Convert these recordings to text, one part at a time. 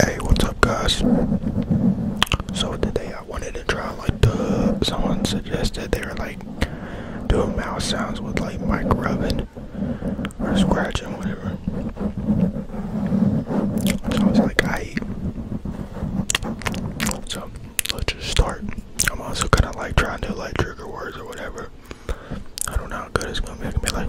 Hey, what's up, guys? So today I wanted to try like the someone suggested they were like doing mouse sounds with like mic rubbing or scratching, whatever. So I was like, I. So let's just start. I'm also kind of like trying to like trigger words or whatever. I don't know how good it's gonna be. I can be like.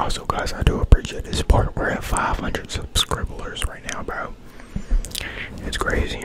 Also, guys, I do appreciate this part. We're at 500 hundred scribblers right now, About It's crazy.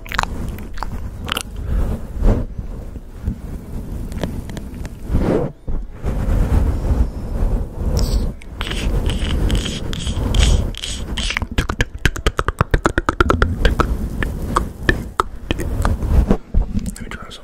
Let me try some.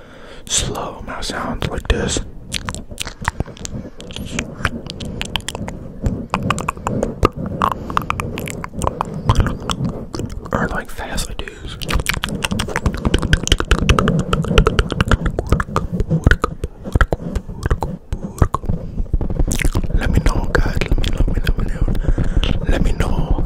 slow mouth sounds like this. Or like fast I Let me know guys, let me let let me know. Let me know.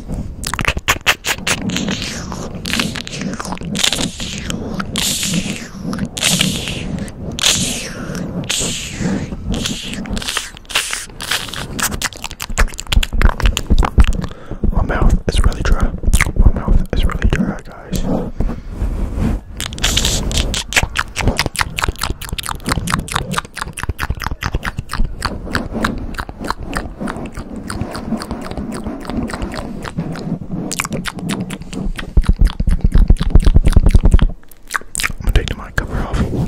My mouth is really dry. My mouth is really dry, guys. I'm gonna take the mic cover off.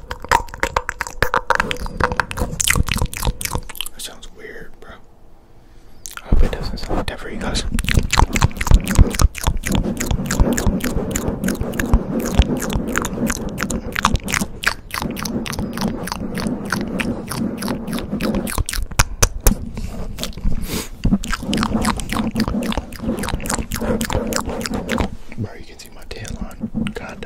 That sounds weird, bro. I hope it doesn't sound like that for you guys. Bro, you can see my tan line, kind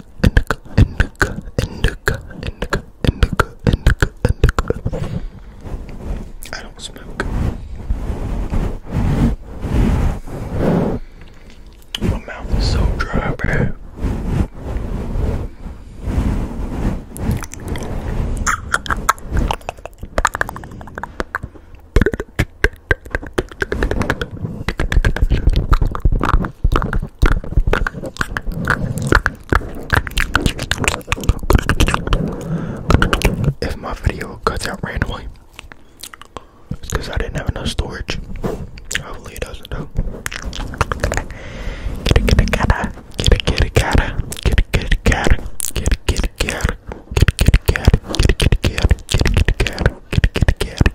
indica, indica, indica, indica, indica, indica, indica. I don't smoke. My mouth is so dry, bro. If my video cuts out randomly, it's because I didn't have enough storage. Hopefully, it doesn't though. Get it, get it, gotta, get it, get it, gotta, get it, get it, gotta, get it, get it, gotta, get it, get it, gotta, get it, get it, gotta, get it, get it, gotta, get it, get it, gotta.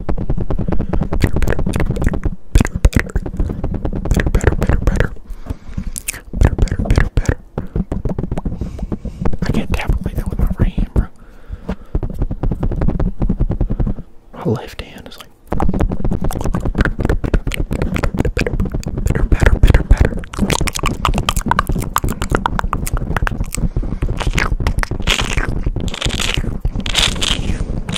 Better, better, better, better, better, better, better, better, better, better, better, better. I can't tap it like that with my right hand, bro. My left hand is like better, better, better, better.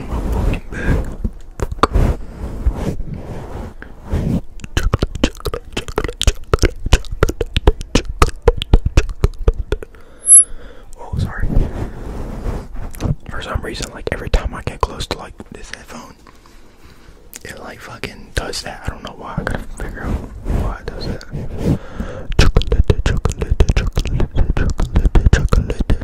my fucking bag. Chocolate, chocolate, chocolate, chocolate, chocolate, chocolate. Oh, sorry. For some reason, like every time I get close to like this headphone, it like fucking does that. I don't know why. I gotta figure out why does that. Chocolate, chocolate, chocolate, chocolate, chocolate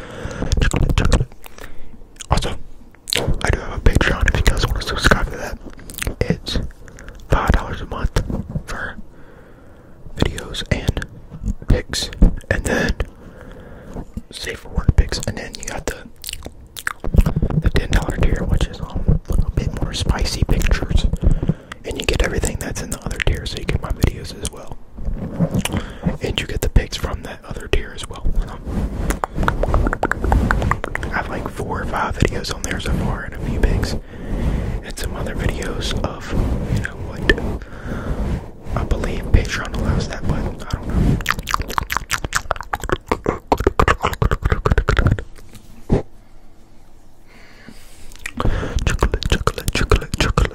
Also, I do have a Patreon if you guys want to subscribe to that. It's five dollars a month for videos and pics, and then save for work pics, and then you got the the ten dollar tier, which is um, a bit more spicy pictures, and you get everything that's in the other tier, so you get my videos as well. And you get the pics from that other tier as well. I have like four or five videos on there so far, and a few pics, and some other videos of you know what I believe Patreon allows that, but I don't Chocolate, chocolate, chocolate, chocolate,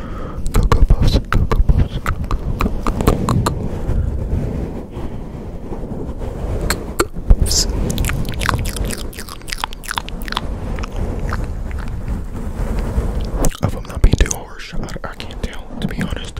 Cocoa puffs, cocoa puffs, cocoa, cocoa, cocoa, puffs. If I'm not being too harsh, I can't tell, to be honest.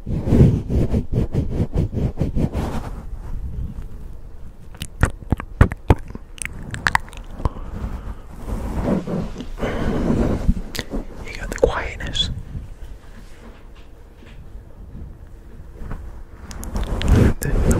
You got the quietness. The, the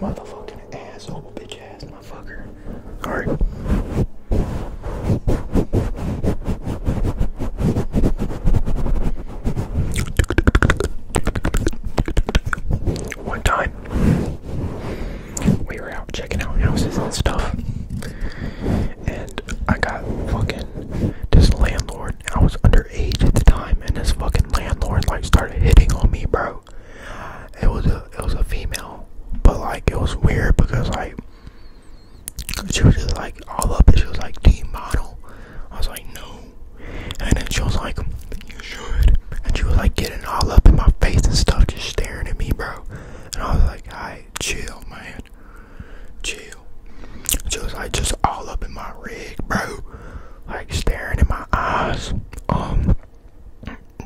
Motherfucking asshole, bitch ass motherfucker. Alright. One time, we were out checking out houses and stuff, and I got fucking this landlord. I was underage at the time, and this fucking landlord like started hitting on me, bro. It was a it was a female, but like it was weird because like she was like all up and she was like, Do model? I was like, No. And then she was like, You should. And she was like getting all up in my face and stuff, just staring at me, bro. And I was like, "hi, chill, man. Chill. she was like just all up in my rig, bro. Like staring in my eyes. Um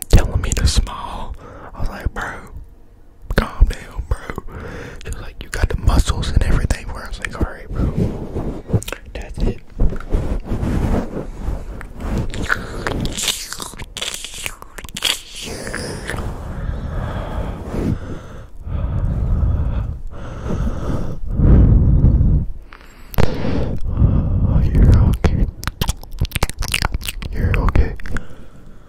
telling me to smile. I was like, bro, calm down, bro. She like, you got the muscles and everything. Where I was like, all right, bro, that's it. You're okay. You're okay.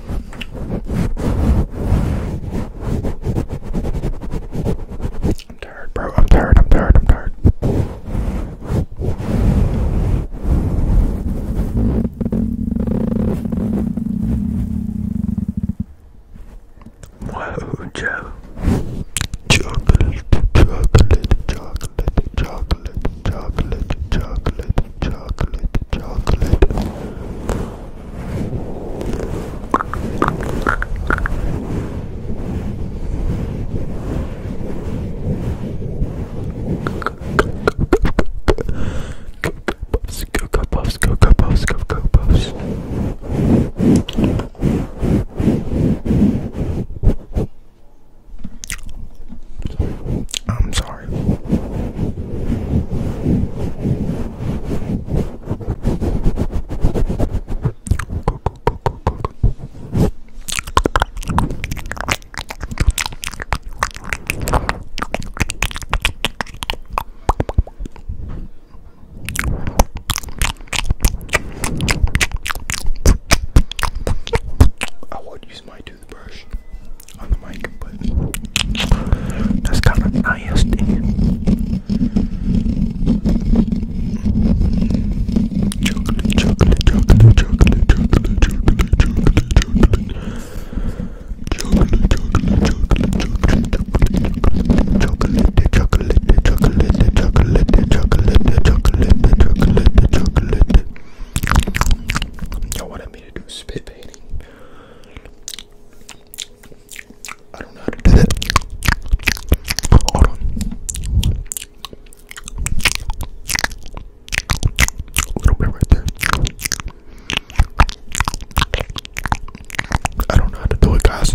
I'm tired, bro. I'm tired. I'm tired. I'm tired. Whoa, Joe. Chocolate, chocolate, chocolate, chocolate, chocolate, chocolate, chocolate, chocolate. Puffs, go go puffs, go go puffs, go go puffs. I'm sorry. I won't use my toothbrush on the mic that's kind of nice chocolate, chocolate, chocolate. Chocolate, chocolate, chocolate, chocolate, chocolate, chocolate, chocolate, chocolate, chocolate, chocolate, chocolate, chocolate, chocolate. Y'all wanted me to do spit painting. I don't know how to do that. Hold on. A little bit right there. I don't know how to do it, guys.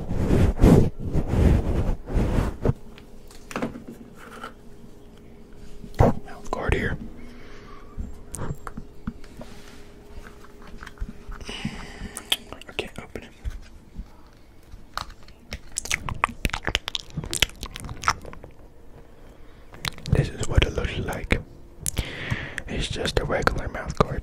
Mouth guard here. I open it. This is what it looks like. It's just a regular mouth guard.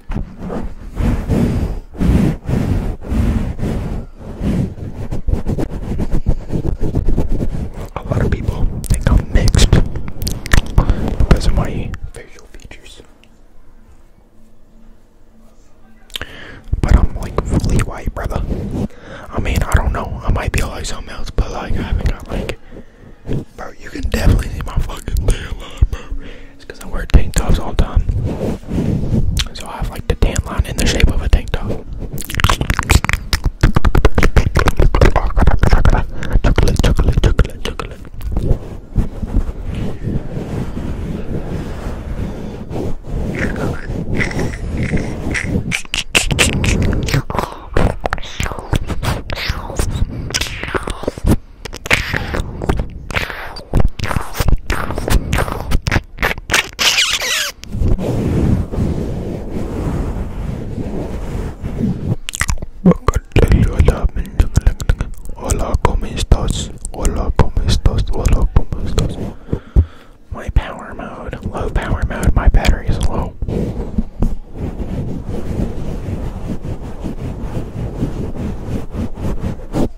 A lot of people think i mixed because of my facial features. But I'm like fully white, brother. I mean, I don't know. I might be like something else, but like, I haven't got like. Bro, you can definitely see my fucking tan bro. It's because I wear tank tops all the time. So I have like the tan line in the shape of a tank top. Hola, ¿cómo estás? Hola, ¿cómo estás? Hola, ¿cómo estás? My power mode, low power mode, my battery is low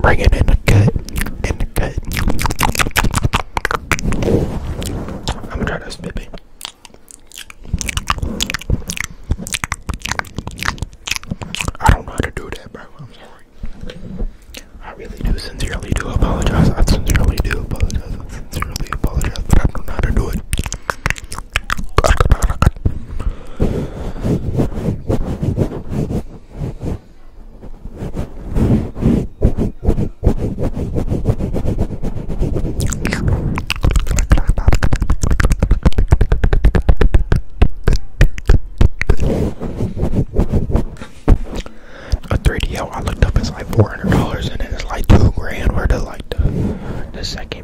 Bring in the cut. In the cut. I'm gonna try this, baby. I don't know how to do that, bro. I'm sorry. I really do sincerely do apologize. I sincerely do apologize. I sincerely apologize, but I don't know how to do it. A 3DL I looked up it's like $400 and it's like two grand where the like the second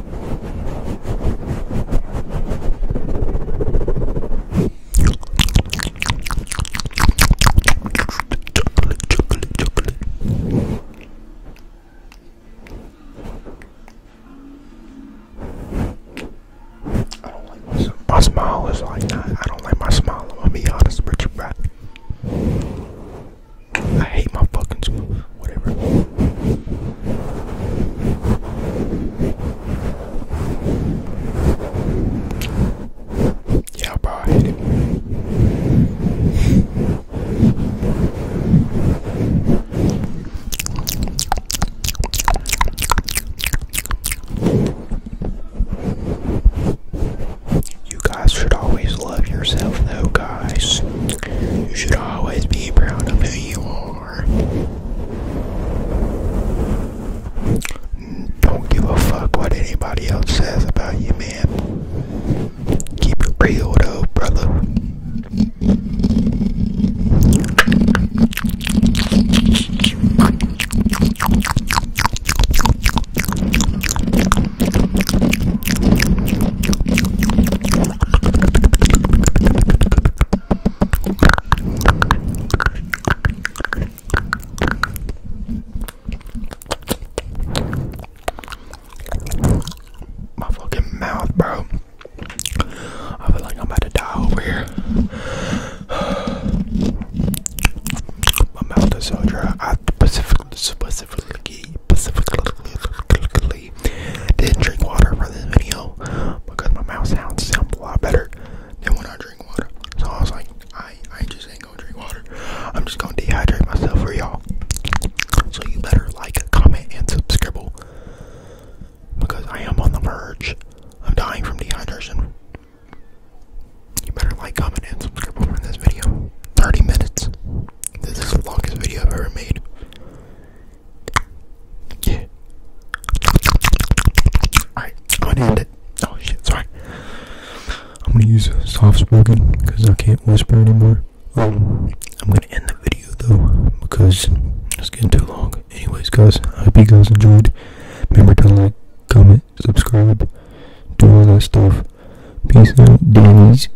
Chocolate, chocolate, chocolate. my, smile is like that. I don't like my smile. I'm gonna be honest with you, bro. I hate my fucking school. Whatever. Yeah, bro, You guys should always love yourself, though, guys. You should always be proud of who you are. Don't give a fuck what anybody else says about you, man. Keep it real, though, brother. My fucking mouth, bro. I feel like I'm about to die over here. My mouth is so dry. I specifically, specifically specifically didn't drink water for this video because my mouth sounds a lot better than when I drink water. So I was like, I I just ain't gonna drink water. I'm just gonna dehydrate myself for y'all. So you better like, comment, and subscribe because I am on the verge of dying from dehydration. You better like, comment, and subscribe for this video. 30 minutes. This is the longest video I've ever made. Yeah. Alright, I'm gonna end it. Oh shit, sorry. I'm gonna use soft spoken because I can't whisper anymore. Um, I'm gonna end the video though because it's getting too long. Anyways, guys, I hope you guys enjoyed. Remember to like, comment, subscribe, do all that stuff. Peace out, Danny's.